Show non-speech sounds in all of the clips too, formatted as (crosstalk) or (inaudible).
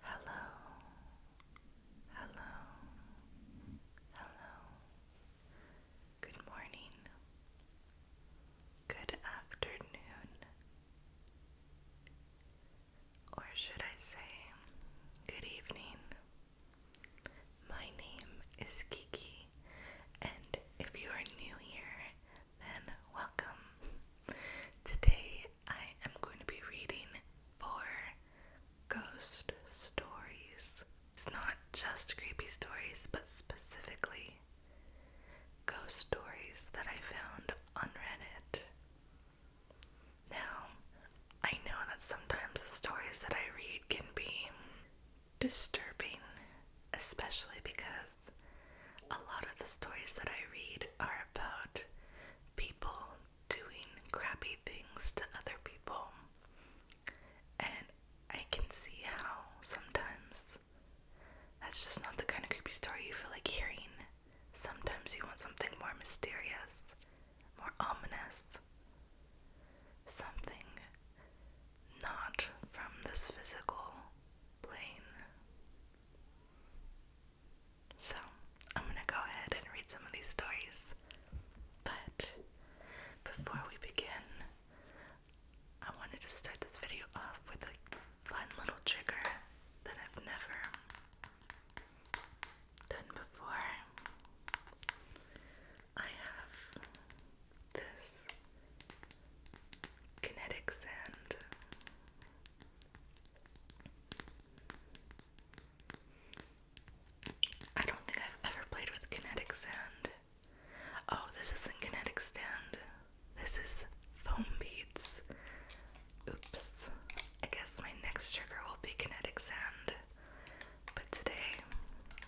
Hello, hello, hello. Good morning, good afternoon, or should I say, good evening. My name is Kiki, and if you are new here, then welcome. Today I am going to be reading four ghost stories. It's not just creepy stories, but specifically ghost stories that I found on Now, I know that sometimes the stories that I read can be disturbing, especially because a lot of the stories that I read are about people doing crappy things to other people. And I can see how sometimes that's just not the kind of creepy story you feel like hearing. Sometimes you want something more mysterious, more ominous, something not from this physical plane. So I'm gonna go ahead and read some of these stories. But before we begin, I wanted to start this video off with a fun little trigger that I've never done before. I have this kinetic sand I don't think I've ever played with kinetic sand. Oh, this isn't kinetic sand. This is foam beads. Oops. I guess my next trigger will be kinetic sand. But today,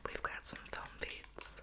we've got some foam beads.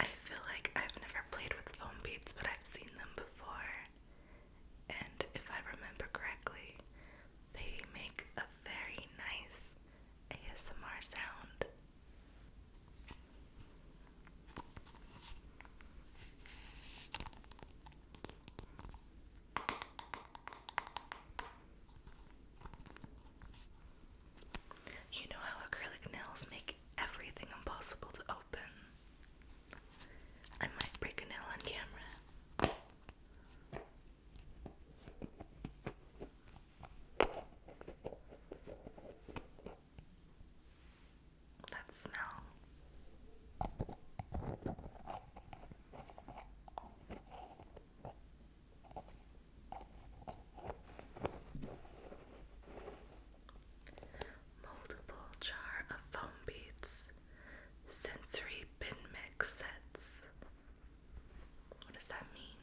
I feel like I've never played with foam beads, but I've seen them before. And if I remember correctly, they make a very nice ASMR sound. You know how acrylic nails make everything impossible to open. I might break a nail on camera. That smell. Multiple jar of foam beads, sensory bin mix sets. What does that mean?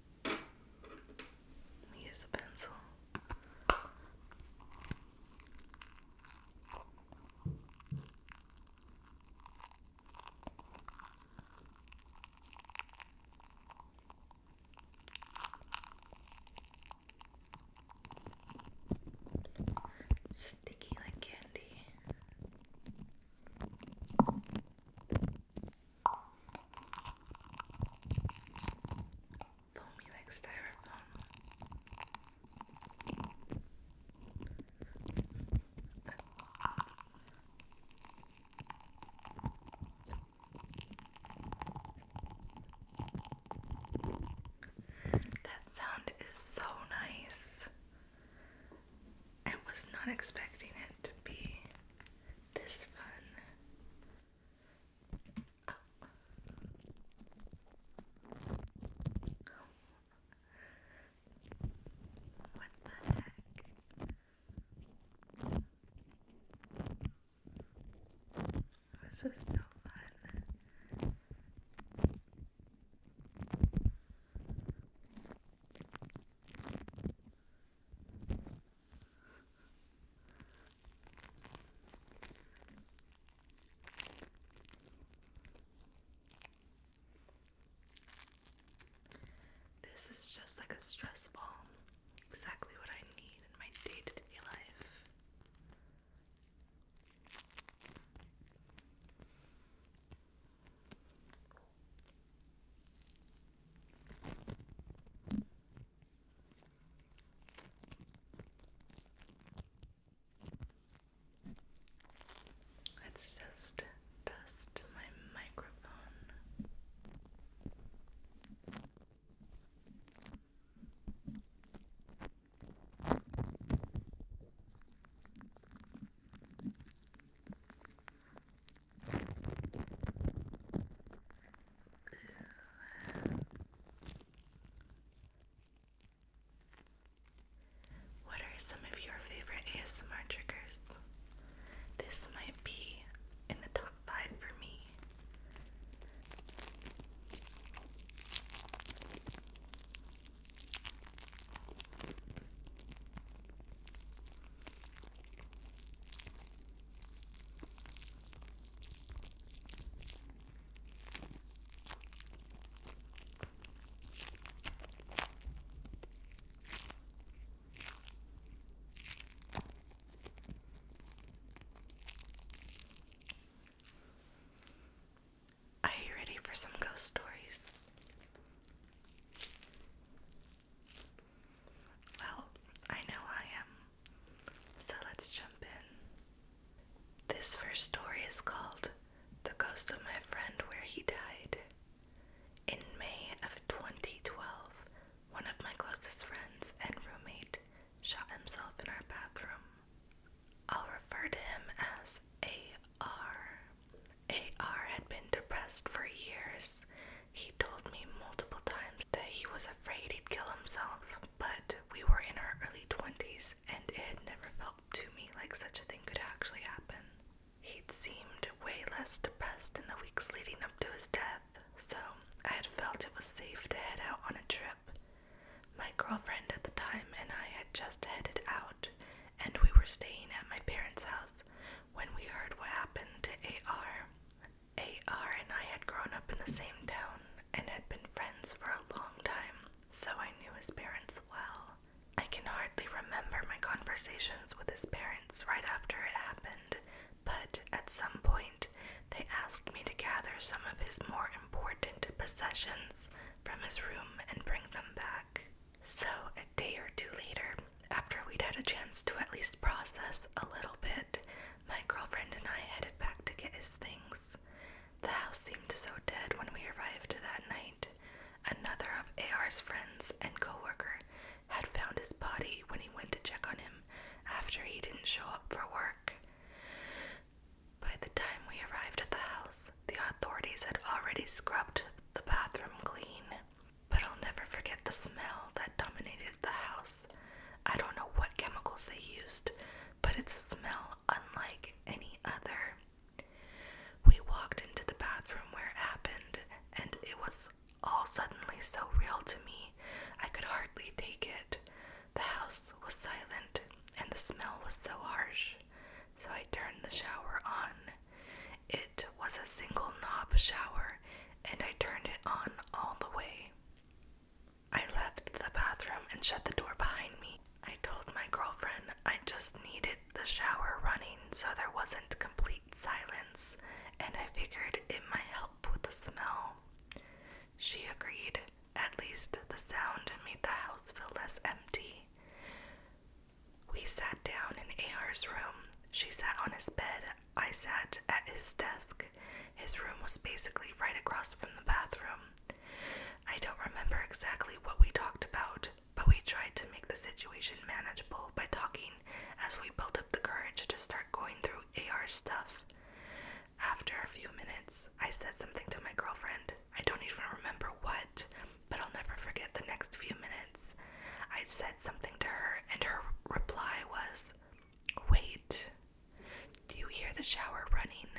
Use a pencil. Sticky like candy. Foamy like styrofoam. That sound is so nice. I was not expecting it to be this fun. Oh. What the heck? This is so fun. This is just like a stress ball, exactly what I need in my day to day life. It's just dust my microphone. What are some of your favorite ASMR triggers? This might be in the top five for me. Are you ready for some ghost stories? Well, I know I am. So let's jump in. This first story is called The Ghost of My Friend Where He Died. In May of 2012, one of my closest friends and roommate shot himself in our bathroom. I'll refer to him as A.R. AR had been depressed for years. He told me multiple times that he was afraid he'd kill himself, but we were in our early 20s and it had never felt to me like such a thing could actually happen. He'd seemed way less depressed in the weeks leading up to his death, so I had felt it was safe to head out on a trip. My girlfriend at the time and I had just headed out, and we were staying at my parents' house when we heard what happened to AR. AR and I had grown up in the same town and had been friends for a long time, so I knew his parents well. I can hardly remember my conversations with his parents right after it happened, but at some point they asked me to gather some of his more important possessions from his room and bring them back. So, a day or two later, after we'd had a chance to at least process a little bit, my girlfriend and I headed back to get his things. The house seemed so dead when we arrived that night. Another of AR's friends and co worker had found his body when he went to check on him after he didn't show up for work. By the time we arrived at the house, the authorities had already scrubbed the bathroom clean. But I'll never forget the smell that dominated the house. I don't know what chemicals they used, but it's a smell unlike any other. We walked into the bathroom where it happened, and it was all suddenly so real to me, I could hardly take it. The house was silent, and the smell was so harsh, so I turned the shower on. It was a single knob shower, and I turned it on all the way. I left the bathroom and shut the door behind me. I told my girlfriend I just needed the shower running so there wasn't complete silence, and I figured it might help with the smell. She agreed. At least the sound made the house feel less empty. We sat down in AR's room. She sat on his bed. I sat at his desk. His room was basically right across from the bathroom. I don't remember exactly what we talked about, but we tried to make the situation manageable by talking as we built up the courage to start going through AR's stuff. After a few minutes, I said something to my girlfriend. I don't even remember what, but I'll never forget the next few minutes. I said something to her, and her reply was, Wait, do you hear the shower running?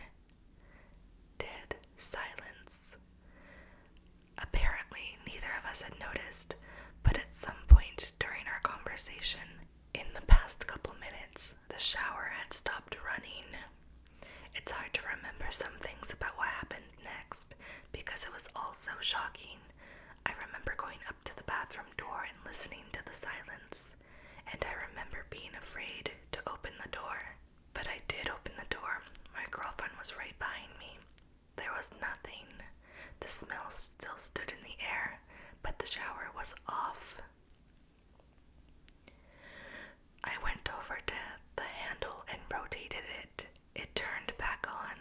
Dead silence. Apparently, neither of us had noticed, but at some point during our conversation, in the past couple minutes, the shower had stopped running. It's hard to remember some things about what happened because it was all so shocking. I remember going up to the bathroom door and listening to the silence, and I remember being afraid to open the door. But I did open the door. My girlfriend was right behind me. There was nothing. The smell still stood in the air, but the shower was off. I went over to the handle and rotated it it turned back on.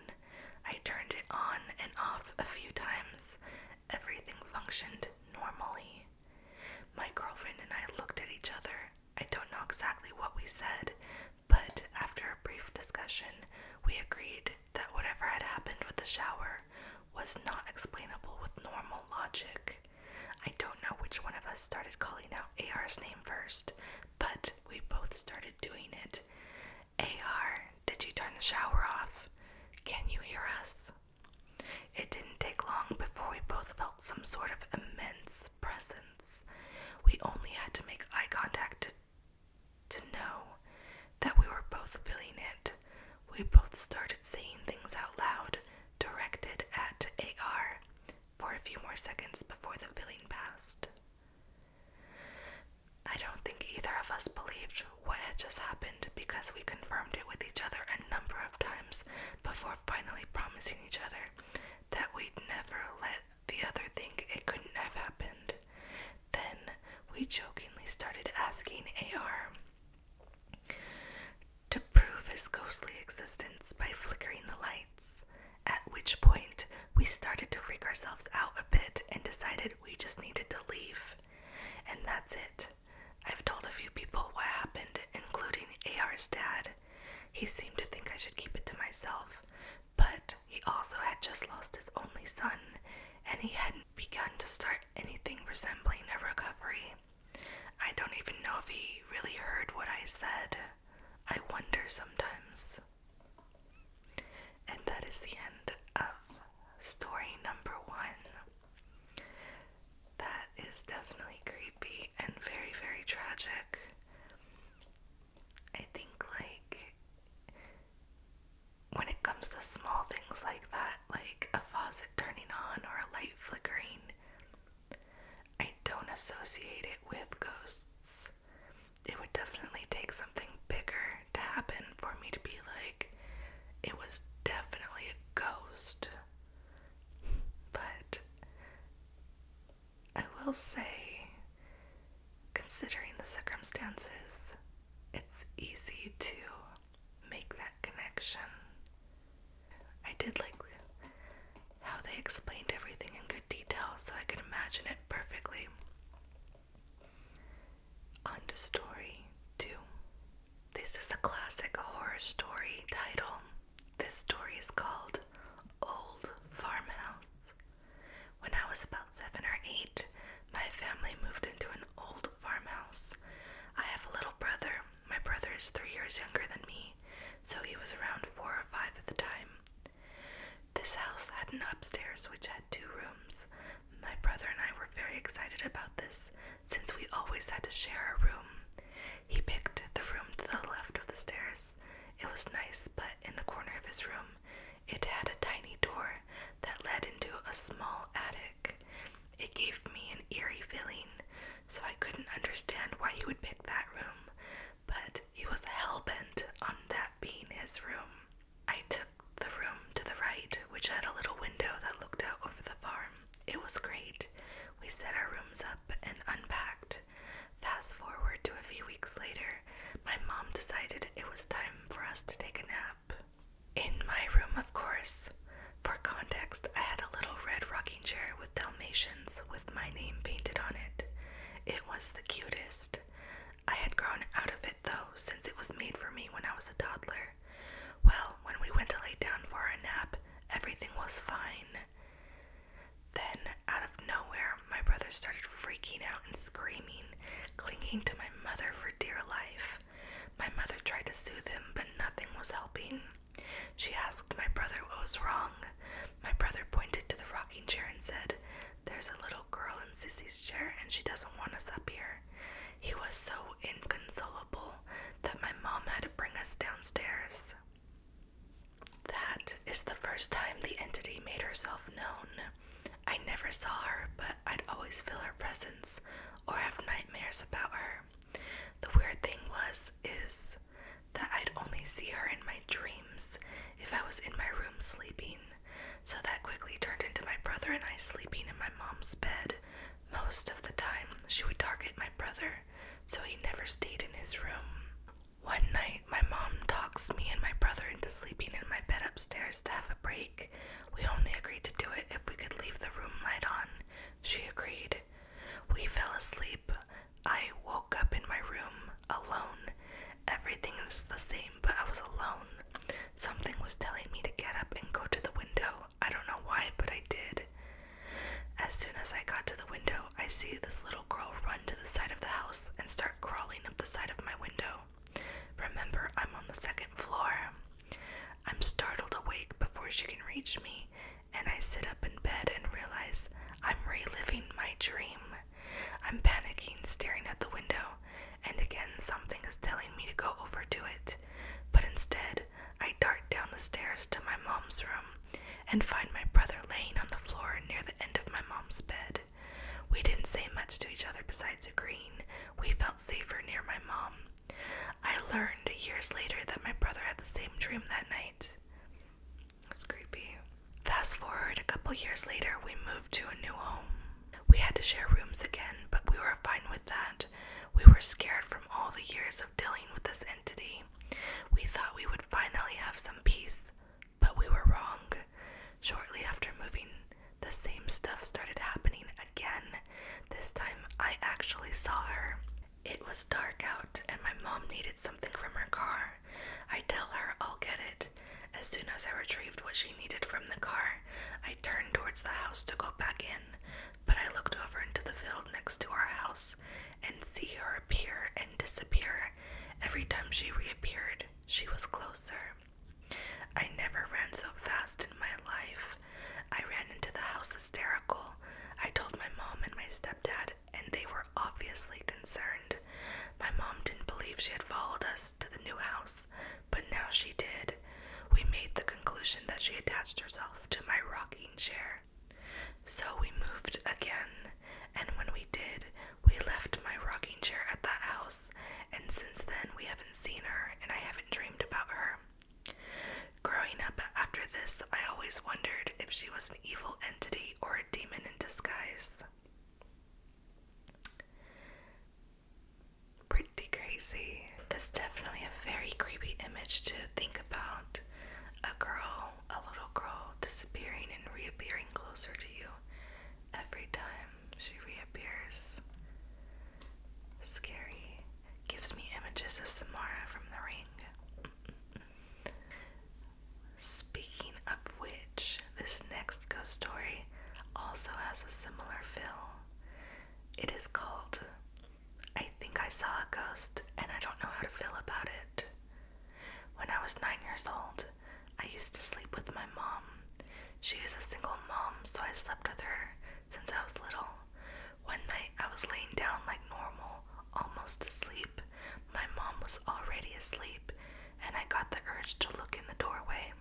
I turned it on and off a few times. Everything functioned normally. My girlfriend and I looked at each other. I don't know exactly what we said, but after a brief discussion, we agreed that whatever had happened with the shower was not explainable with normal logic. I don't know which one of us started calling out AR's name first, but we both started doing it. AR, did you turn the shower off? Can you hear us? It didn't take long before we both felt some sort of immense presence. We only had to make eye contact to, know that we were both feeling it. We both started saying things out loud, directed at AR for a few more seconds before the feeling passed. I don't think either of us believed what had just happened because we confirmed it with each other a number of times before finally promising each other that we'd never let the other think it couldn't have happened. Then we jokingly started asking AR to prove his ghostly existence by flickering the lights at which point, we started to freak ourselves out a bit and decided we just needed to leave. And that's it. I've told a few people what happened, including AR's dad. He seemed to think I should keep it to myself, but he also had just lost his only son, and he hadn't begun to start anything resembling a recovery. I don't even know if he really heard what I said. I wonder sometimes. And that is the end of story number one. That is definitely creepy and very, very tragic. I think, like, when it comes to small things like that, like a faucet turning on or a light flickering, I don't associate it with ghosts. It would definitely take something bigger to happen for me to be like, it was definitely a ghost. But I will say, considering the circumstances, it's easy to make that connection I did like how they explained everything in good detail so I can imagine it perfectly. On to story two. This is a classic horror story title. This story is called Old Farmhouse. When I was about seven or eight, my family moved into an old farmhouse. I have a little brother my brother is three years younger than me, so he was around four or five at the time. This house had an upstairs which had two rooms. My brother and I were very excited about this since we always had to share a room. He picked the room to the left of the stairs. It was nice, but in the corner of his room, it had a tiny door that led into a small attic. It gave me an eerie feeling, so I couldn't understand why he would pick that room, but he was hell-bent on that being his room. I took the room to the right, which had a little window that looked out over the farm. It was great. We set our rooms up and unpacked. Fast forward to a few weeks later, my mom decided it was time for us to take a nap. In my room, of course. For context, I had a little red rocking chair with Dalmatians with my name painted on it. It was the cutest. I had grown out of it though, since it was made for me when I was a toddler. Well, when we went to lay down for a nap, everything was fine. Then, out of nowhere, my brother started freaking out and screaming, clinging to my mother for dear life. My mother tried to soothe him, but nothing was helping. She asked my brother what was wrong. My brother pointed to the rocking chair and said, There's a little girl in Sissy's chair and she doesn't want us up here. He was so inconsolable that my mom had to bring us downstairs. That is the first time the entity made herself known. I never saw her, but I'd always feel her presence or have nightmares about her. The weird thing was is that I'd only see her in my dreams if I was in my room sleeping. So that quickly turned into my brother and I sleeping in my mom's bed. Most of the time, she would target my brother, so he never stayed in his room. One night, my mom talks me and my brother into sleeping in my bed upstairs to have a break. We only agreed to do it if we could leave the room light on. She agreed, we fell asleep. I woke up in my room alone. Everything is the same, but I was alone. Something was telling me to get up and go to the window. I don't know why, but I did. As soon as I got to the window, I see this little girl run to the side of the house and start crawling up the side of my window. Remember, I'm on the second floor. I'm startled awake before she can reach me, and I sit up in bed and realize I'm reliving my dream. I'm panicking, staring at the window, and again something is telling me to go over to it. But instead, I dart down the stairs to my mom's room and find my brother laying on the floor near the end of my mom's bed. We didn't say much to each other besides agreeing we felt safer near my mom. I learned years later that my brother had the same dream that night. It was creepy. Fast forward a couple years later, we moved to a new home. We had to share rooms again, but we were fine with that. We were scared from all the years of dealing with this entity. We thought we would finally have some peace, but we were wrong. Shortly after moving, the same stuff started happening again. This time I actually saw her. It was dark out, and my mom needed something from her car. I tell her I'll get it. As soon as I retrieved what she needed from the car, I turned towards the house to go back in, but I looked over into the field next to our house and see her appear and disappear. Every time she reappeared, she was closer. I never ran so fast in my life. I ran into the house hysterical. I told my mom and my stepdad, and they were obviously concerned. My mom didn't believe she had followed us to the new house, but now she did. We made the conclusion that she attached herself to my rocking chair. So we moved again, and when we did, we left my rocking chair at that house, and since then we haven't seen her and I haven't dreamed about her. Growing up after this, I always wondered if she was an evil entity or a demon in disguise. Pretty crazy. That's definitely a very creepy image to think about. A girl, a little girl, disappearing and reappearing closer to you every time she reappears. Scary. Gives me images of Samara from the ring. Speaking of which, this next ghost story also has a similar feel. It is called I Think I Saw a Ghost and I Don't Know How to Feel About It. When I was nine years old, I used to sleep with my mom. She is a single mom, so I slept with her since I was little. One night I was laying down like normal, almost asleep. My mom was already asleep, and I got the urge to look in the doorway.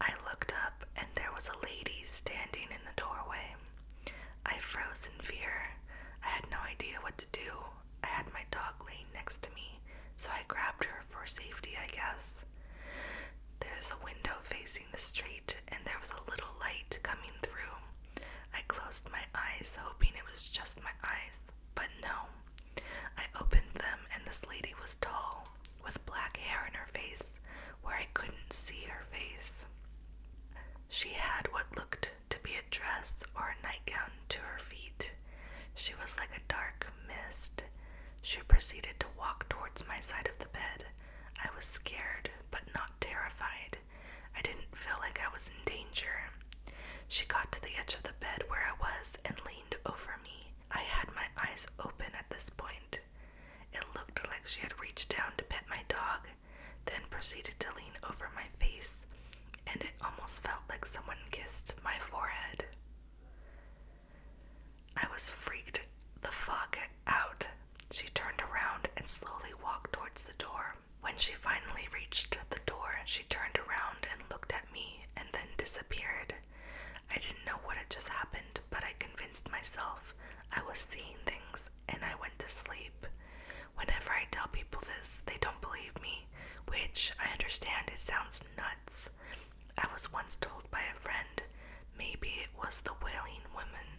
I looked up, and there was a lady standing in the doorway. I froze in fear. I had no idea what to do. I had my dog laying next to me, so I grabbed her for safety, I guess. There's a window facing the street, and there was a little light coming through. I closed my eyes, hoping it was just my eyes, but no. I opened them, and this lady was tall, with black hair in her face, where I couldn't see her face. She had what looked to be a dress or a nightgown to her feet. She was like a dark mist, she proceeded to walk towards my side of the bed. I was scared, but not terrified. I didn't feel like I was in danger. She got to the edge of the bed where I was and leaned over me. I had my eyes open at this point. It looked like she had reached down to pet my dog, then proceeded to lean over my face, and it almost felt like someone kissed my forehead. I was freaked the fuck out. She turned around and slowly walked towards the door. When she finally reached the door, she turned around and looked at me and then disappeared. I didn't know what had just happened, but I convinced myself I was seeing things and I went to sleep. Whenever I tell people this, they don't believe me, which I understand it sounds nuts, I was once told by a friend maybe it was the wailing woman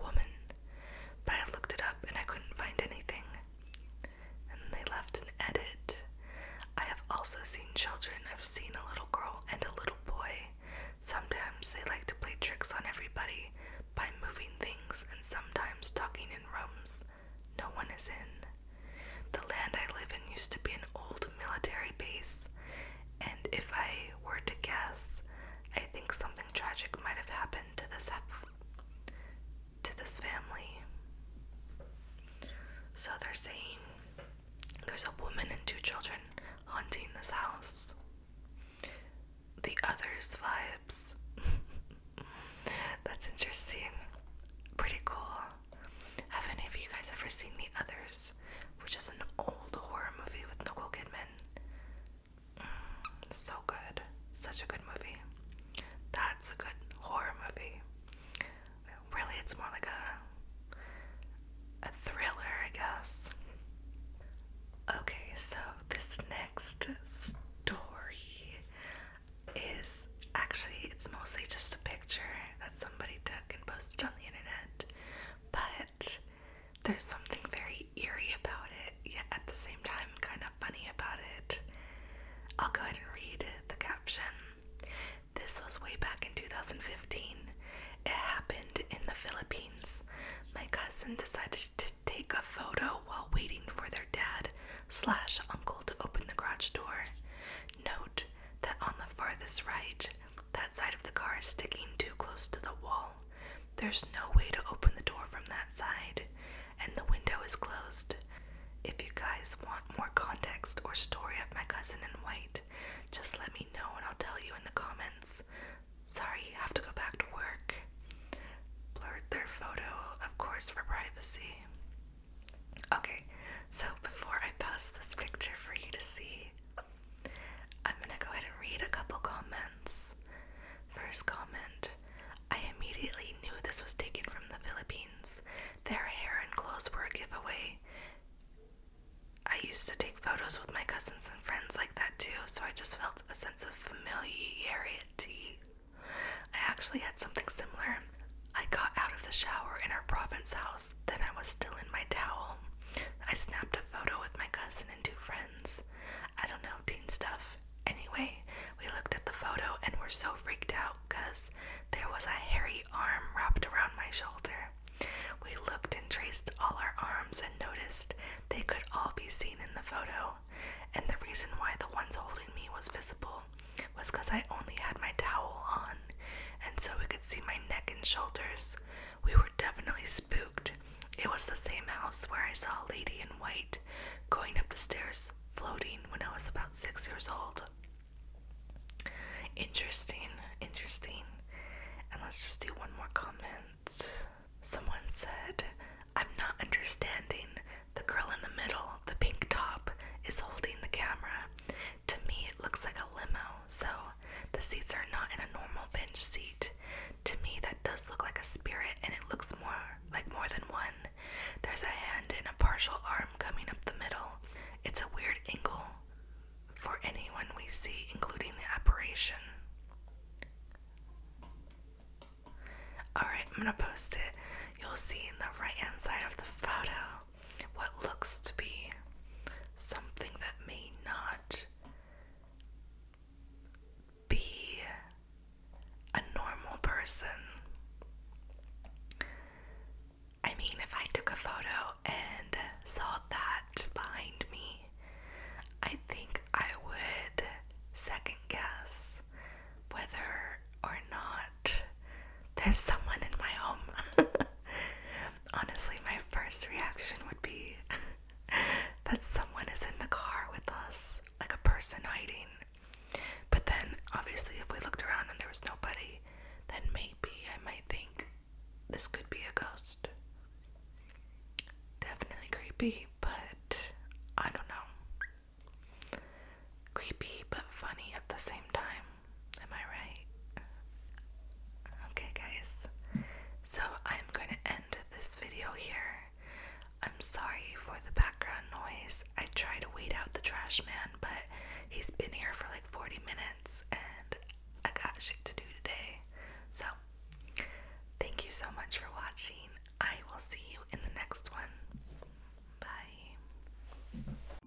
woman, but I looked it up and I couldn't find anything. And they left an edit. I have also seen children. I've seen a little girl and a little boy. Sometimes they like to play tricks on everybody by moving things and sometimes talking in rooms no one is in. The land I live in used to be an old military base, and if I were to guess, I think something tragic might have happened to this to this family. So they're saying there's a woman and two children haunting this house. The others vibes. (laughs) That's interesting. Pretty cool. Have any of you guys ever seen The Others? which is an old horror movie with Nicole Kidman. Mm, so good. Such a good movie. That's a good horror movie. Really, it's more like a a thriller, I guess. Okay, so this next story is actually it's mostly just a picture that somebody took and posted on the internet but there's something very eerie about it, yet at the same time, kind of funny about it. I'll go ahead and read the caption. This was way back in 2015. It happened in the Philippines. My cousin decided to take a photo while waiting for their dad slash uncle to open the garage door. Note that on the farthest right, that side of the car is sticking too close to the wall. There's no way to open the door from that side, and the window is closed. If you guys want more context or story of my cousin in white, just let me know and I'll tell you in the comments. Sorry, have to go back to work. Blurred their photo, of course, for privacy. Okay, so before I post this picture for you to see, I'm gonna go ahead and read a couple comments. First comment I immediately knew this was taken from the Philippines. Their hair and clothes were a giveaway. I used to take photos with my cousins and friends like that too, so I just felt a sense of familiarity. I actually had something similar. I got out of the shower in our province house, then I was still in my towel. I snapped a photo with my cousin and two friends. I don't know, teen stuff. Anyway, we looked at the photo and were so freaked out because there was a hairy arm wrapped around my shoulder. We looked and traced all our arms and noticed they could all be seen in the photo. And the reason why the ones holding me was visible was because I only had my towel on and so we could see my neck and shoulders. We were definitely spooked. It was the same house where I saw a lady in white going up the stairs floating when I was about six years old. Interesting, interesting. And let's just do one more comment. Someone said, I'm not understanding. The girl in the middle, the pink top, is holding the camera, to me, it looks like a limo, so the seats are not in a normal bench seat. To me, that does look like a spirit, and it looks more like more than one. There's a hand and a partial arm coming up the middle. It's a weird angle for anyone we see, including the apparition. Alright, I'm gonna post it. You'll see in the right hand side of the photo what looks to be something that may not be a normal person. I mean, if I took a photo and saw that behind me, I think I would second guess whether or not there's someone in my home. (laughs) Honestly, my first reaction would be (laughs) that someone is in the car with us, like a person hiding. But then, obviously, if we looked around and there was nobody, then maybe I might think this could be a ghost. Definitely creepy, but I don't know. Creepy but funny at the same time. Am I right? Okay, guys. So I'm going to end this video here. I'm sorry for the background noise. I try to weed out the trash man, but he's been here for like 40 minutes and I got shit to do today. So, thank you so much for watching. I will see you in the next one. Bye.